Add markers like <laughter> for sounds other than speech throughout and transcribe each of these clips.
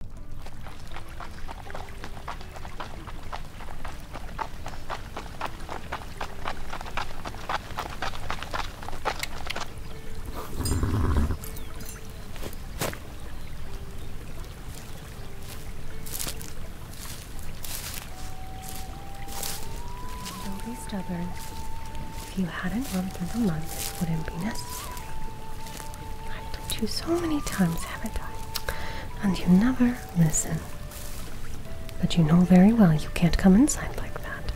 Don't be stubborn. If you hadn't run through the month, it wouldn't be necessary. I've told you so many times, haven't I? And you never listen. But you know very well you can't come inside like that.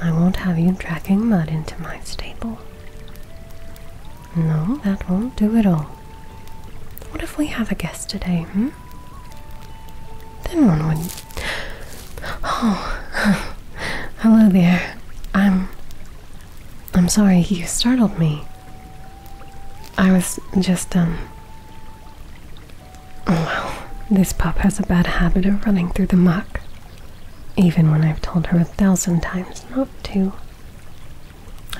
I won't have you dragging mud into my stable. No, that won't do at all. What if we have a guest today, hmm? Then one would. Oh, <laughs> hello there. I'm I'm sorry, you startled me. I was just, um. Oh, wow. This pup has a bad habit of running through the muck. Even when I've told her a thousand times not to.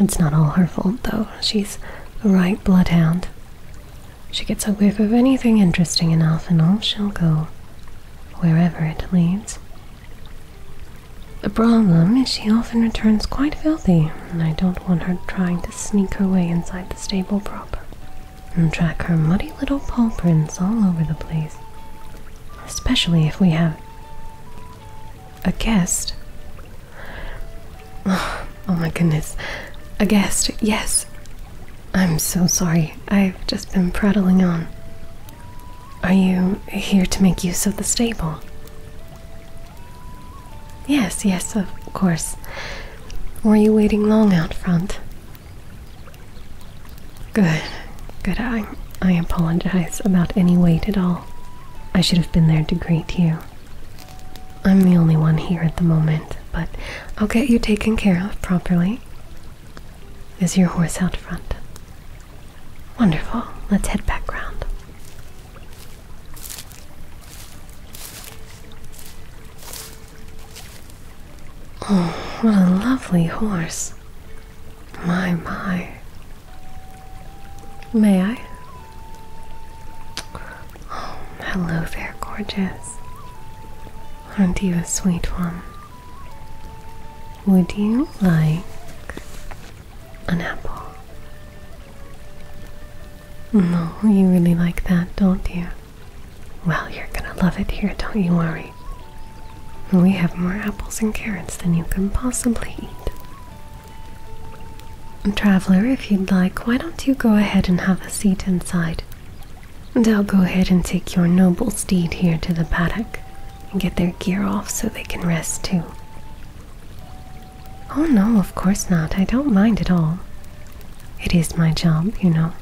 It's not all her fault, though. She's a right bloodhound. She gets a whiff of anything interesting enough, and off she'll go, wherever it leads. The problem is she often returns quite filthy, and I don't want her trying to sneak her way inside the stable proper and track her muddy little paw prints all over the place. Especially if we have a guest. <sighs> Oh, my goodness. A guest, yes. I'm so sorry. I've just been prattling on. Are you here to make use of the stable? Yes, yes, of course. Were you waiting long out front? Good, good. I, I apologize about any wait at all. I should have been there to greet you. I'm the only one here at the moment, but I'll get you taken care of properly. Is your horse out front? Wonderful. Let's head back round. Oh, what a lovely horse. My, my. May I? Oh, hello there, gorgeous. Aren't you a sweet one? Would you like an apple? No, you really like that, don't you? Well, you're gonna love it here, don't you worry. We have more apples and carrots than you can possibly eat. Traveler, if you'd like, why don't you go ahead and have a seat inside? And I'll go ahead and take your noble steed here to the paddock and get their gear off so they can rest too. Oh no, of course not. I don't mind at all. It is my job, you know.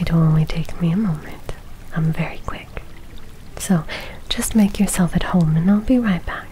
It'll only take me a moment. I'm very quick. So, just make yourself at home and I'll be right back.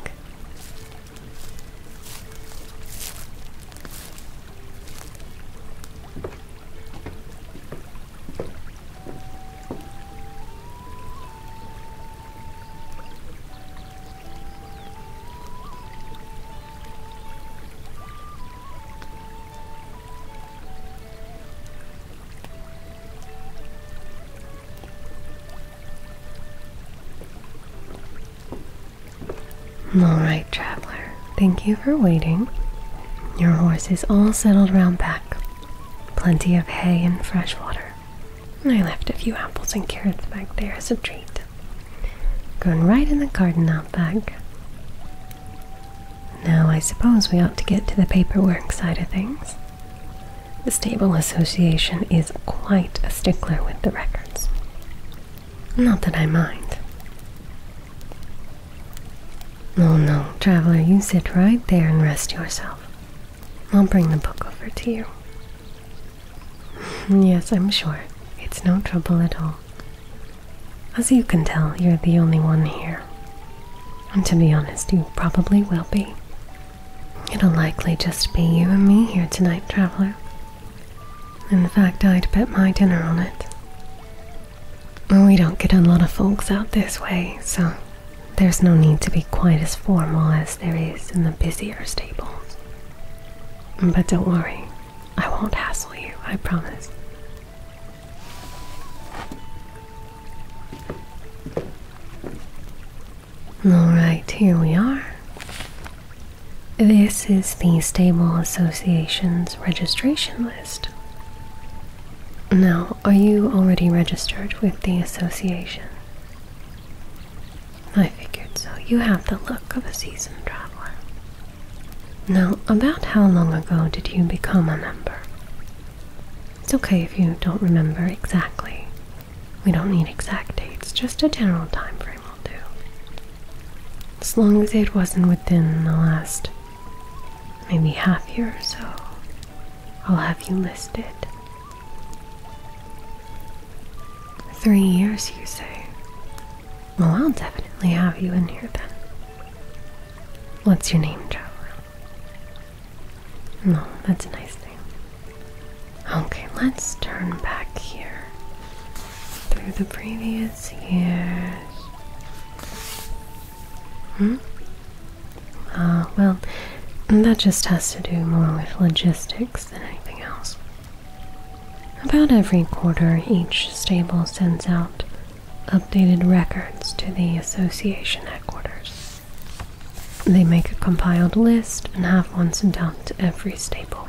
Alright, traveler, thank you for waiting. Your horse is all settled round back. Plenty of hay and fresh water. I left a few apples and carrots back there as a treat. Going right in the garden out back. Now I suppose we ought to get to the paperwork side of things. The Stable Association is quite a stickler with the records. Not that I mind. No, no, traveler, you sit right there and rest yourself. I'll bring the book over to you. <laughs> yes, I'm sure. It's no trouble at all. As you can tell, you're the only one here. And to be honest, you probably will be. It'll likely just be you and me here tonight, traveler. In fact, I'd bet my dinner on it we don't get a lot of folks out this way, so there's no need to be quite as formal as there is in the busier stables. But don't worry, I won't hassle you, I promise. Alright, here we are. This is the Stable Association's registration list. Now, are you already registered with the association? I figured so. You have the look of a seasoned traveler. Now, about how long ago did you become a member? It's okay if you don't remember exactly. We don't need exact dates, just a general time frame will do. As long as it wasn't within the last maybe half year or so, I'll have you listed. Three years, you say? Well, I'll definitely have you in here then. What's your name, Traveler? No, that's a nice name. Okay, let's turn back here through the previous years. Hmm? Ah, well, that just has to do more with logistics than anything else. About every quarter, each stable sends out updated records to the association headquarters. They make a compiled list and have one sent out to every stable.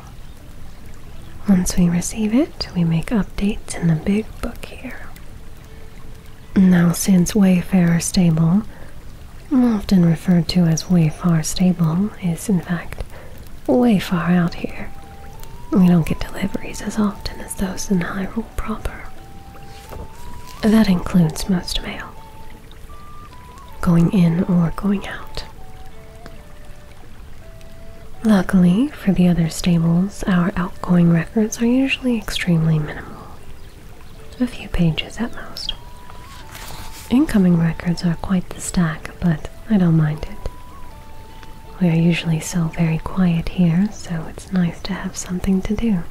Once we receive it, we make updates in the big book here. Now, since Wayfarer Stable, often referred to as Wayfarer Stable, is in fact way far out here, we don't get deliveries as often as those in Hyrule proper. That includes most mail, going in or going out. Luckily for the other stables, our outgoing records are usually extremely minimal to a few pages at most. Incoming records are quite the stack, but I don't mind it. We are usually so very quiet here, so it's nice to have something to do.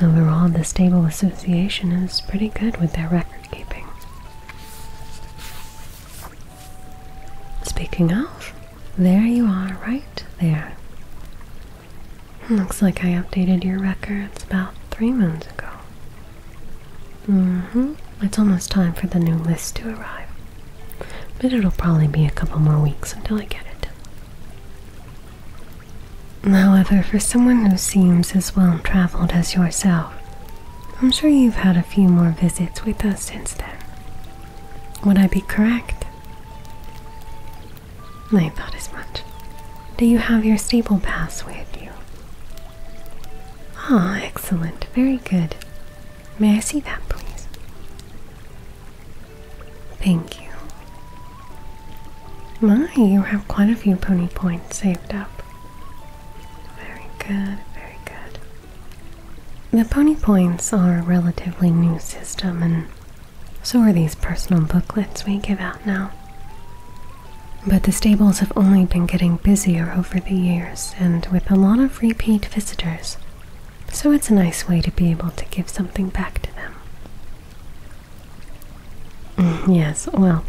Overall, the Stable Association is pretty good with their record keeping. Speaking of, there you are, right there. Looks like I updated your records about three moons ago. Mm-hmm. It's almost time for the new list to arrive. But it'll probably be a couple more weeks until I get it. However, for someone who seems as well traveled as yourself, I'm sure you've had a few more visits with us since then. Would I be correct? I thought as much. Do you have your stable pass with you? Ah, excellent. Very good. May I see that, please? Thank you. My, you have quite a few pony points saved up. Very good, very good. The Pony Points are a relatively new system, and so are these personal booklets we give out now. But the stables have only been getting busier over the years and with a lot of repeat visitors, so it's a nice way to be able to give something back to them. Mm, yes, well,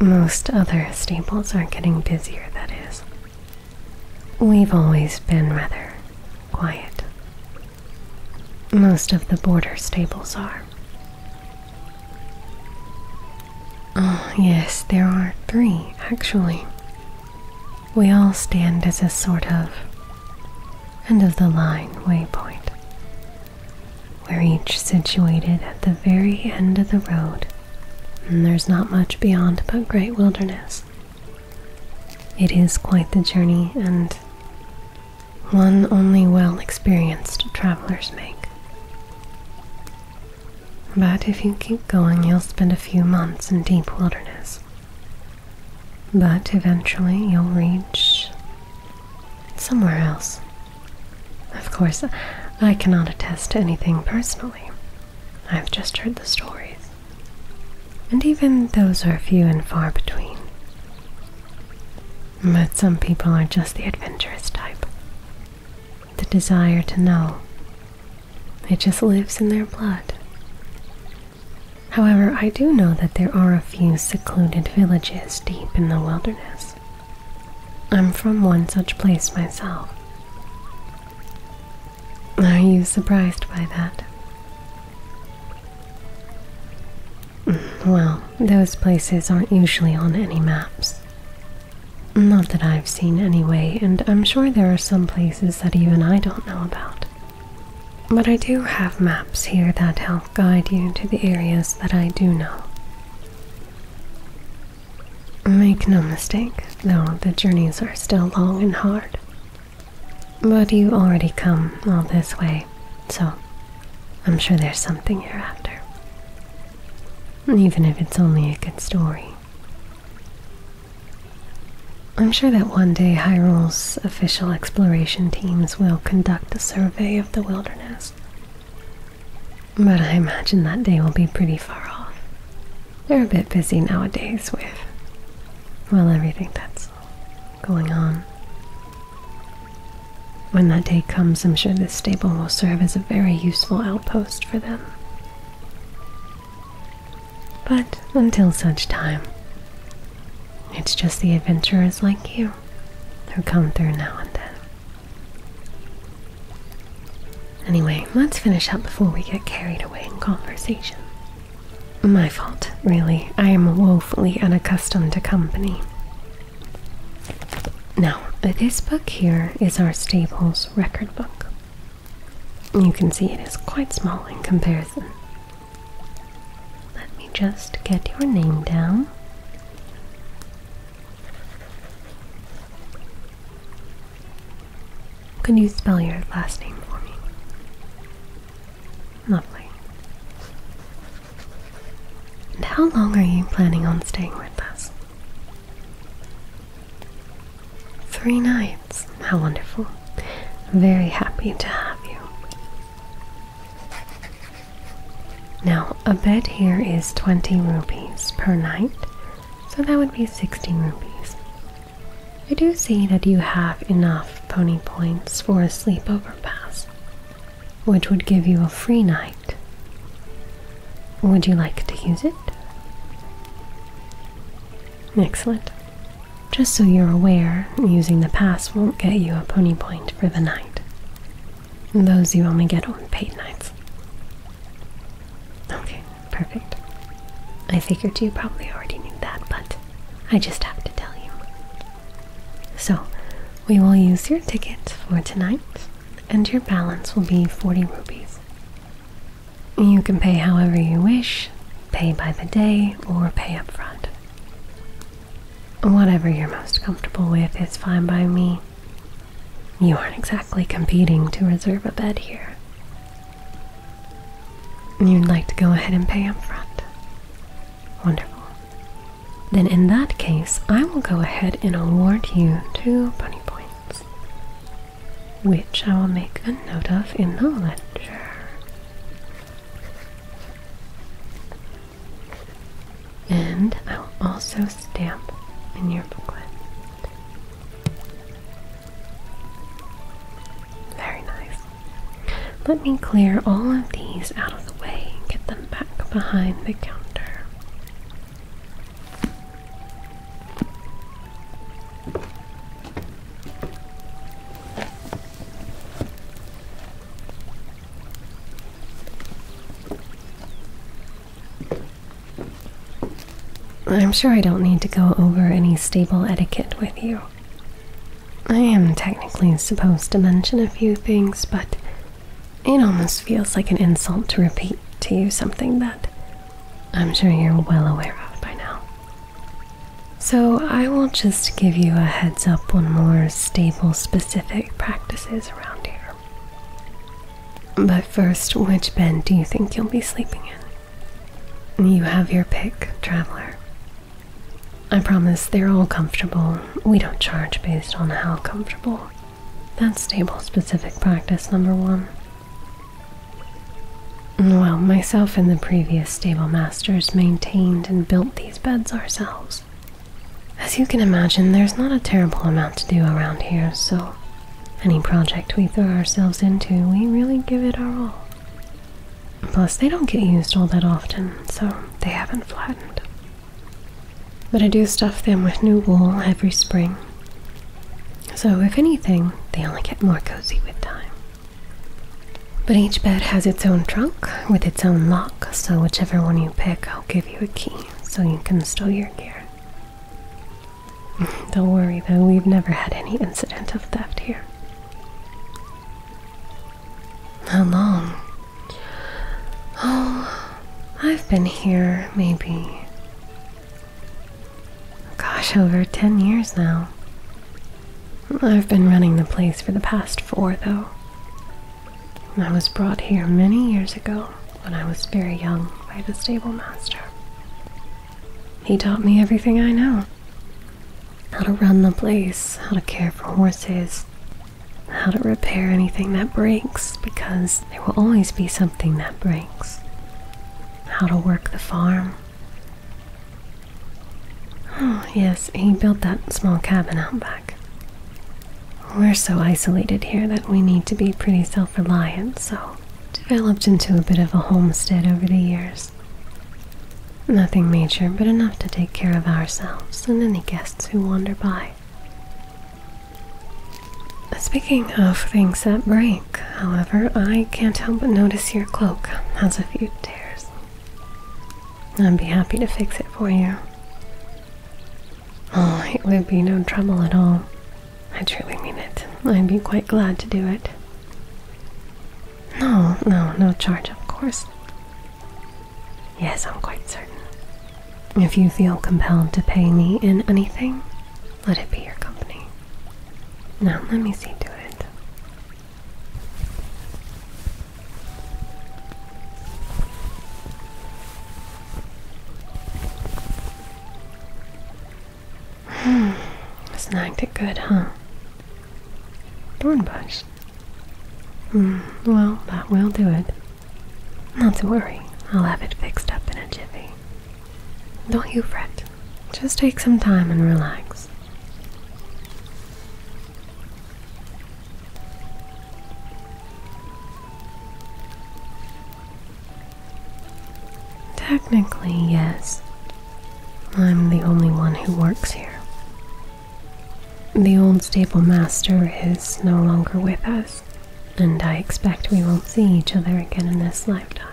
most other stables are getting busier, that is. We've always been rather quiet. Most of the border stables are. Oh, yes, there are three, actually. We all stand as a sort of end of the line waypoint. We're each situated at the very end of the road, and there's not much beyond but great wilderness. It is quite the journey and one only well experienced travelers make. But if you keep going, you'll spend a few months in deep wilderness. But eventually, you'll reach somewhere else. Of course, I cannot attest to anything personally. I've just heard the stories. And even those are few and far between. But some people are just the adventurous type. The desire to know. It just lives in their blood. However, I do know that there are a few secluded villages deep in the wilderness. I'm from one such place myself. Are you surprised by that? Mm, well, those places aren't usually on any maps. Not that I've seen anyway, and I'm sure there are some places that even I don't know about. But I do have maps here that help guide you to the areas that I do know. Make no mistake, though the journeys are still long and hard, but you already come all this way, so I'm sure there's something after, Even if it's only a good story. I'm sure that one day Hyrule's official exploration teams will conduct a survey of the wilderness. But I imagine that day will be pretty far off they're a bit busy nowadays with, well, everything that's going on. When that day comes, I'm sure this stable will serve as a very useful outpost for them. But until such time, it's just the adventurers like you who come through now and then. Anyway, let's finish up before we get carried away in conversation. My fault, really. I am woefully unaccustomed to company. Now, this book here is our Staples record book. You can see it is quite small in comparison. Let me just get your name down. Can you spell your last name for me? Lovely. And how long are you planning on staying with us? Three nights. How wonderful. I'm very happy to have you. Now, a bed here is 20 rupees per night, so that would be 60 rupees. I do see that you have enough pony points for a sleepover pass, which would give you a free night. Would you like to use it? Excellent. Just so you're aware, using the pass won't get you a pony point for the night. Those you only get on paid nights. Okay, Perfect. I figured you probably already knew that, but I just have to tell you. So, we will use your ticket for tonight, and your balance will be 40 rupees. You can pay however you wish, pay by the day, or pay up front. Whatever you're most comfortable with is fine by me. You aren't exactly competing to reserve a bed here. You'd like to go ahead and pay up front. Wonderful. Then, in that case, I will go ahead and award you two bunny points, which I will make a note of in the ledger. And I will also stamp in your booklet. Very nice. Let me clear all of these out of the way get them back behind the counter. I'm sure I don't need to go over any stable etiquette with you. I am technically supposed to mention a few things, but it almost feels like an insult to repeat to you something that I'm sure you're well aware of by now. So I will just give you a heads up on more stable specific practices around here. But first, which bed do you think you'll be sleeping in? You have your pick, traveler. I promise they're all comfortable. We don't charge based on how comfortable. That's stable specific practice number one. Well, myself and the previous stable masters maintained and built these beds ourselves. As you can imagine, there's not a terrible amount to do around here, so any project we throw ourselves into, we really give it our all. Plus, they don't get used all that often, so they haven't flattened. But I do stuff them with new wool every spring. So, if anything, they only get more cozy with time. But each bed has its own trunk with its own lock, so whichever one you pick, I'll give you a key so you can store your gear. <laughs> Don't worry though, we've never had any incident of theft here. How long? Oh, I've been here maybe. Gosh, over 10 years now. I've been running the place for the past four, though. I was brought here many years ago when I was very young by the stable master. He taught me everything I know. How to run the place, how to care for horses, how to repair anything that breaks, because there will always be something that breaks. How to work the farm. Oh, yes, he built that small cabin out back. We're so isolated here that we need to be pretty self reliant, so developed into a bit of a homestead over the years. Nothing major, but enough to take care of ourselves and any guests who wander by. Speaking of things that break, however, I can't help but notice your cloak has a few tears. I'd be happy to fix it for you. Oh, it would be no trouble at all. I truly mean it. I'd be quite glad to do it. No, no, no charge, of course. Yes, I'm quite certain. If you feel compelled to pay me in anything, let it be your company. Now, let me see to it. Hmm. Snagged it good, huh? Thornbush. Hmm. Well, that will do it. Not to worry. I'll have it fixed up in a jiffy. Don't you fret. Just take some time and relax. Technically, yes. I'm the only one who works here. The old stable master is no longer with us, and I expect we won't see each other again in this lifetime.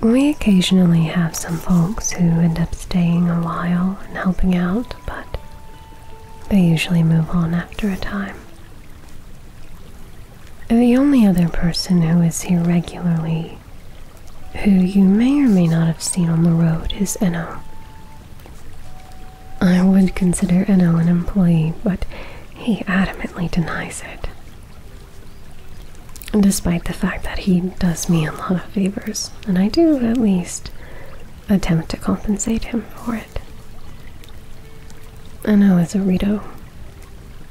We occasionally have some folks who end up staying a while and helping out, but they usually move on after a time. The only other person who is here regularly who you may or may not have seen on the road is Eno. I would consider Eno an employee, but he adamantly denies it. Despite the fact that he does me a lot of favors, and I do at least attempt to compensate him for it. Eno is a Rito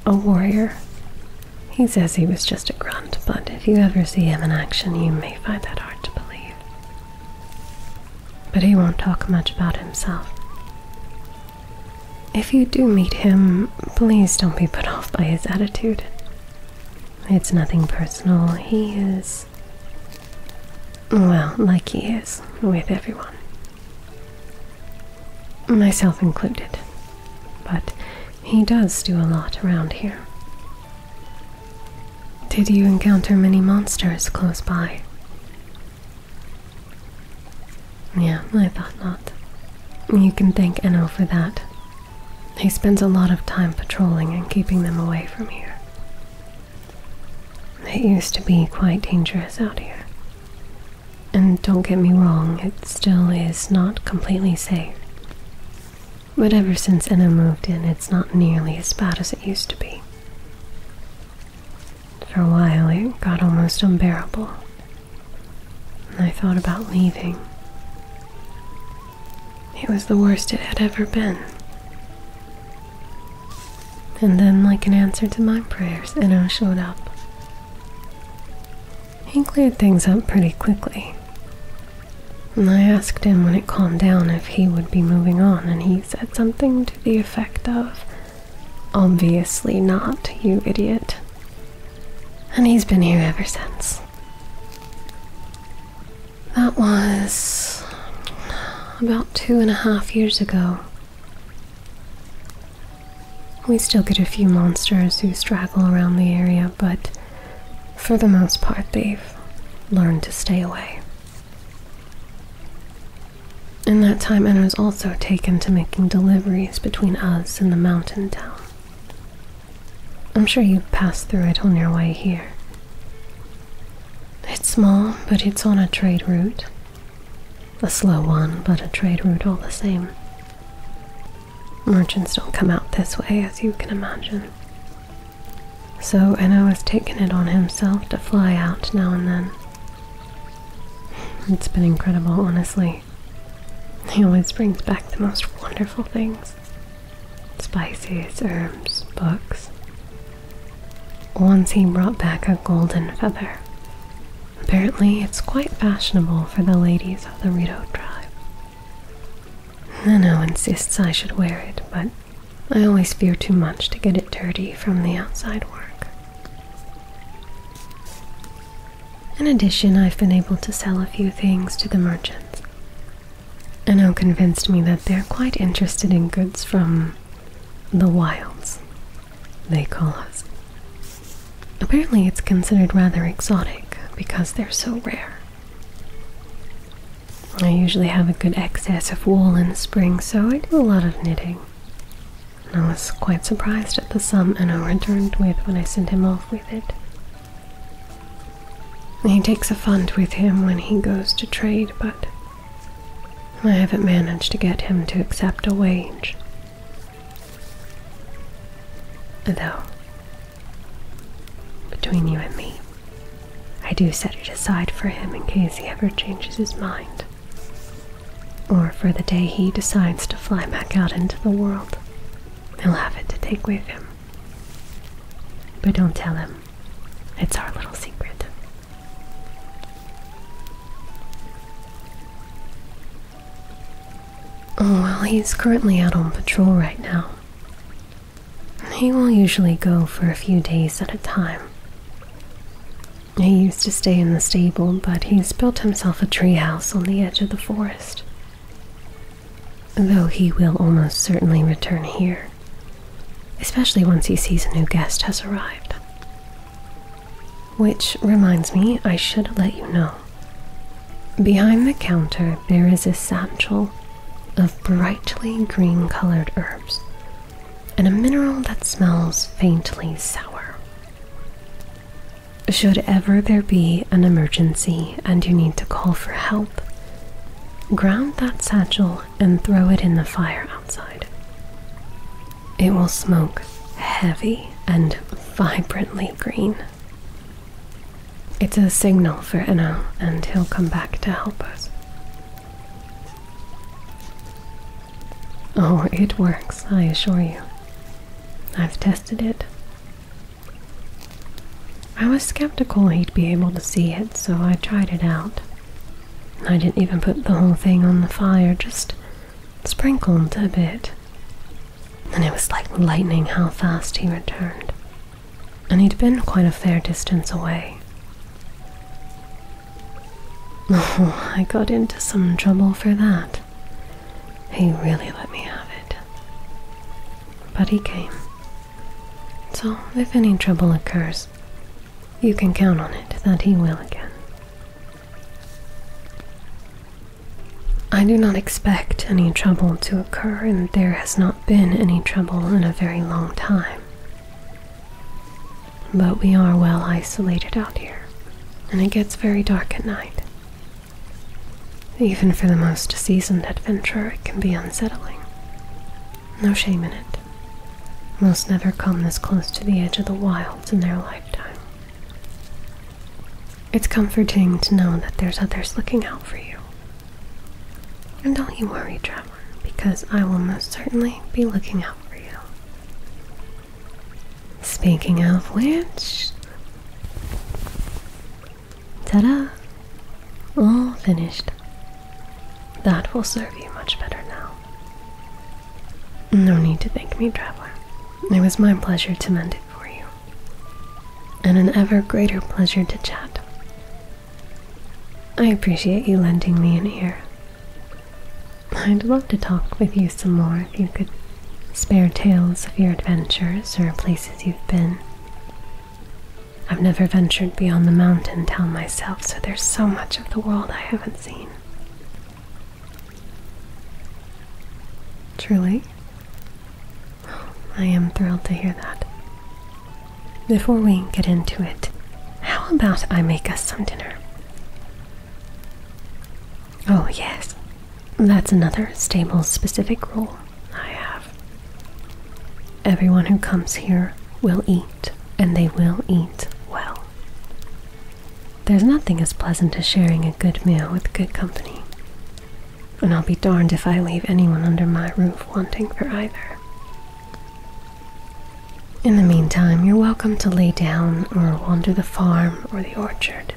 a warrior. He says he was just a grunt, but if you ever see him in action, you may find that hard to believe. But he won't talk much about himself. If you do meet him, please don't be put off by his attitude. It's nothing personal. He is. Well, like he is with everyone myself included. But he does do a lot around here. Did you encounter many monsters close by? Yeah, I thought not. You can thank Eno for that. He spends a lot of time patrolling and keeping them away from here. It used to be quite dangerous out here. And don't get me wrong, it still is not completely safe. But ever since Enna moved in, it's not nearly as bad as it used to be. For a while, it got almost unbearable. And I thought about leaving. It was the worst it had ever been. And then, like an answer to my prayers, Enna showed up. He cleared things up pretty quickly. And I asked him when it calmed down if he would be moving on, and he said something to the effect of, Obviously not, you idiot. And he's been here ever since. That was about two and a half years ago. We still get a few monsters who straggle around the area, but for the most part, they've learned to stay away. In that time, I was also taken to making deliveries between us and the mountain town. I'm sure you passed through it on your way here. It's small, but it's on a trade route. A slow one, but a trade route all the same. Merchants don't come out this way, as you can imagine. So Enno has taken it on himself to fly out now and then. It's been incredible, honestly. He always brings back the most wonderful things spices, herbs, books. Once he brought back a golden feather. Apparently, it's quite fashionable for the ladies of the Rito tribe. Nano insists I should wear it, but I always fear too much to get it dirty from the outside work. In addition, I've been able to sell a few things to the merchants. Anno convinced me that they're quite interested in goods from the wilds, they call us. Apparently, it's considered rather exotic because they're so rare. I usually have a good excess of wool in the spring, so I do a lot of knitting. I was quite surprised at the sum Anno returned with when I sent him off with it. He takes a fund with him when he goes to trade, but I haven't managed to get him to accept a wage. Though, between you and me, I do set it aside for him in case he ever changes his mind. Or for the day he decides to fly back out into the world, he'll have it to take with him. But don't tell him, it's our little secret. Oh, well, he's currently out on patrol right now. He will usually go for a few days at a time. He used to stay in the stable, but he's built himself a treehouse on the edge of the forest. Though he will almost certainly return here, especially once he sees a new guest has arrived. Which reminds me, I should let you know. Behind the counter, there is a satchel of brightly green colored herbs and a mineral that smells faintly sour. Should ever there be an emergency and you need to call for help, ground that satchel and throw it in the fire outside. It will smoke heavy and vibrantly green. It's a signal for Enno, and he'll come back to help us. Oh, it works, I assure you. I've tested it. I was skeptical he'd be able to see it, so I tried it out. I didn't even put the whole thing on the fire, just sprinkled a bit and it was like lightning how fast he returned. And he'd been quite a fair distance away. <laughs> Oh, I got into some trouble for that. He really let me have it. But he came. So, if any trouble occurs, you can count on it that he will again. I do not expect any trouble to occur, and there has not been any trouble in a very long time. But we are well isolated out here, and it gets very dark at night. Even for the most seasoned adventurer, it can be unsettling. No shame in it. Most never come this close to the edge of the wilds in their lifetime. It's comforting to know that there's others looking out for you. And don't you worry, traveler, because I will most certainly be looking out for you. Speaking of which, ta da! All finished. That will serve you much better now. No need to thank me, traveler. It was my pleasure to mend it for you, and an ever greater pleasure to chat. I appreciate you lending me an ear. I'd love to talk with you some more if you could spare tales of your adventures or places you've been. I've never ventured beyond the mountain town myself, so there's so much of the world I haven't seen. Truly? I am thrilled to hear that. Before we get into it, how about I make us some dinner? Oh, yes. That's another stable specific rule I have. Everyone who comes here will eat, and they will eat well. There's nothing as pleasant as sharing a good meal with good company, and I'll be darned if I leave anyone under my roof wanting for either. In the meantime, you're welcome to lay down or wander the farm or the orchard.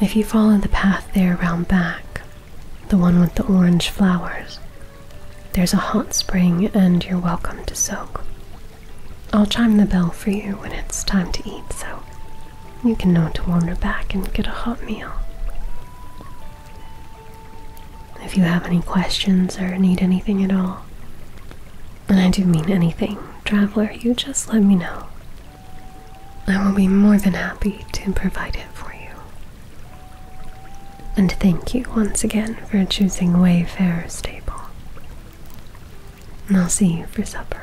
If you follow the path there round back, the one with the orange flowers, there's a hot spring and you're welcome to soak. I'll chime the bell for you when it's time to eat, so you can know to wander back and get a hot meal. If you have any questions or need anything at all, and I do mean anything, traveler, you just let me know. I will be more than happy to provide it for you. And thank you once again for choosing Wayfarer Stable. I'll see you for supper.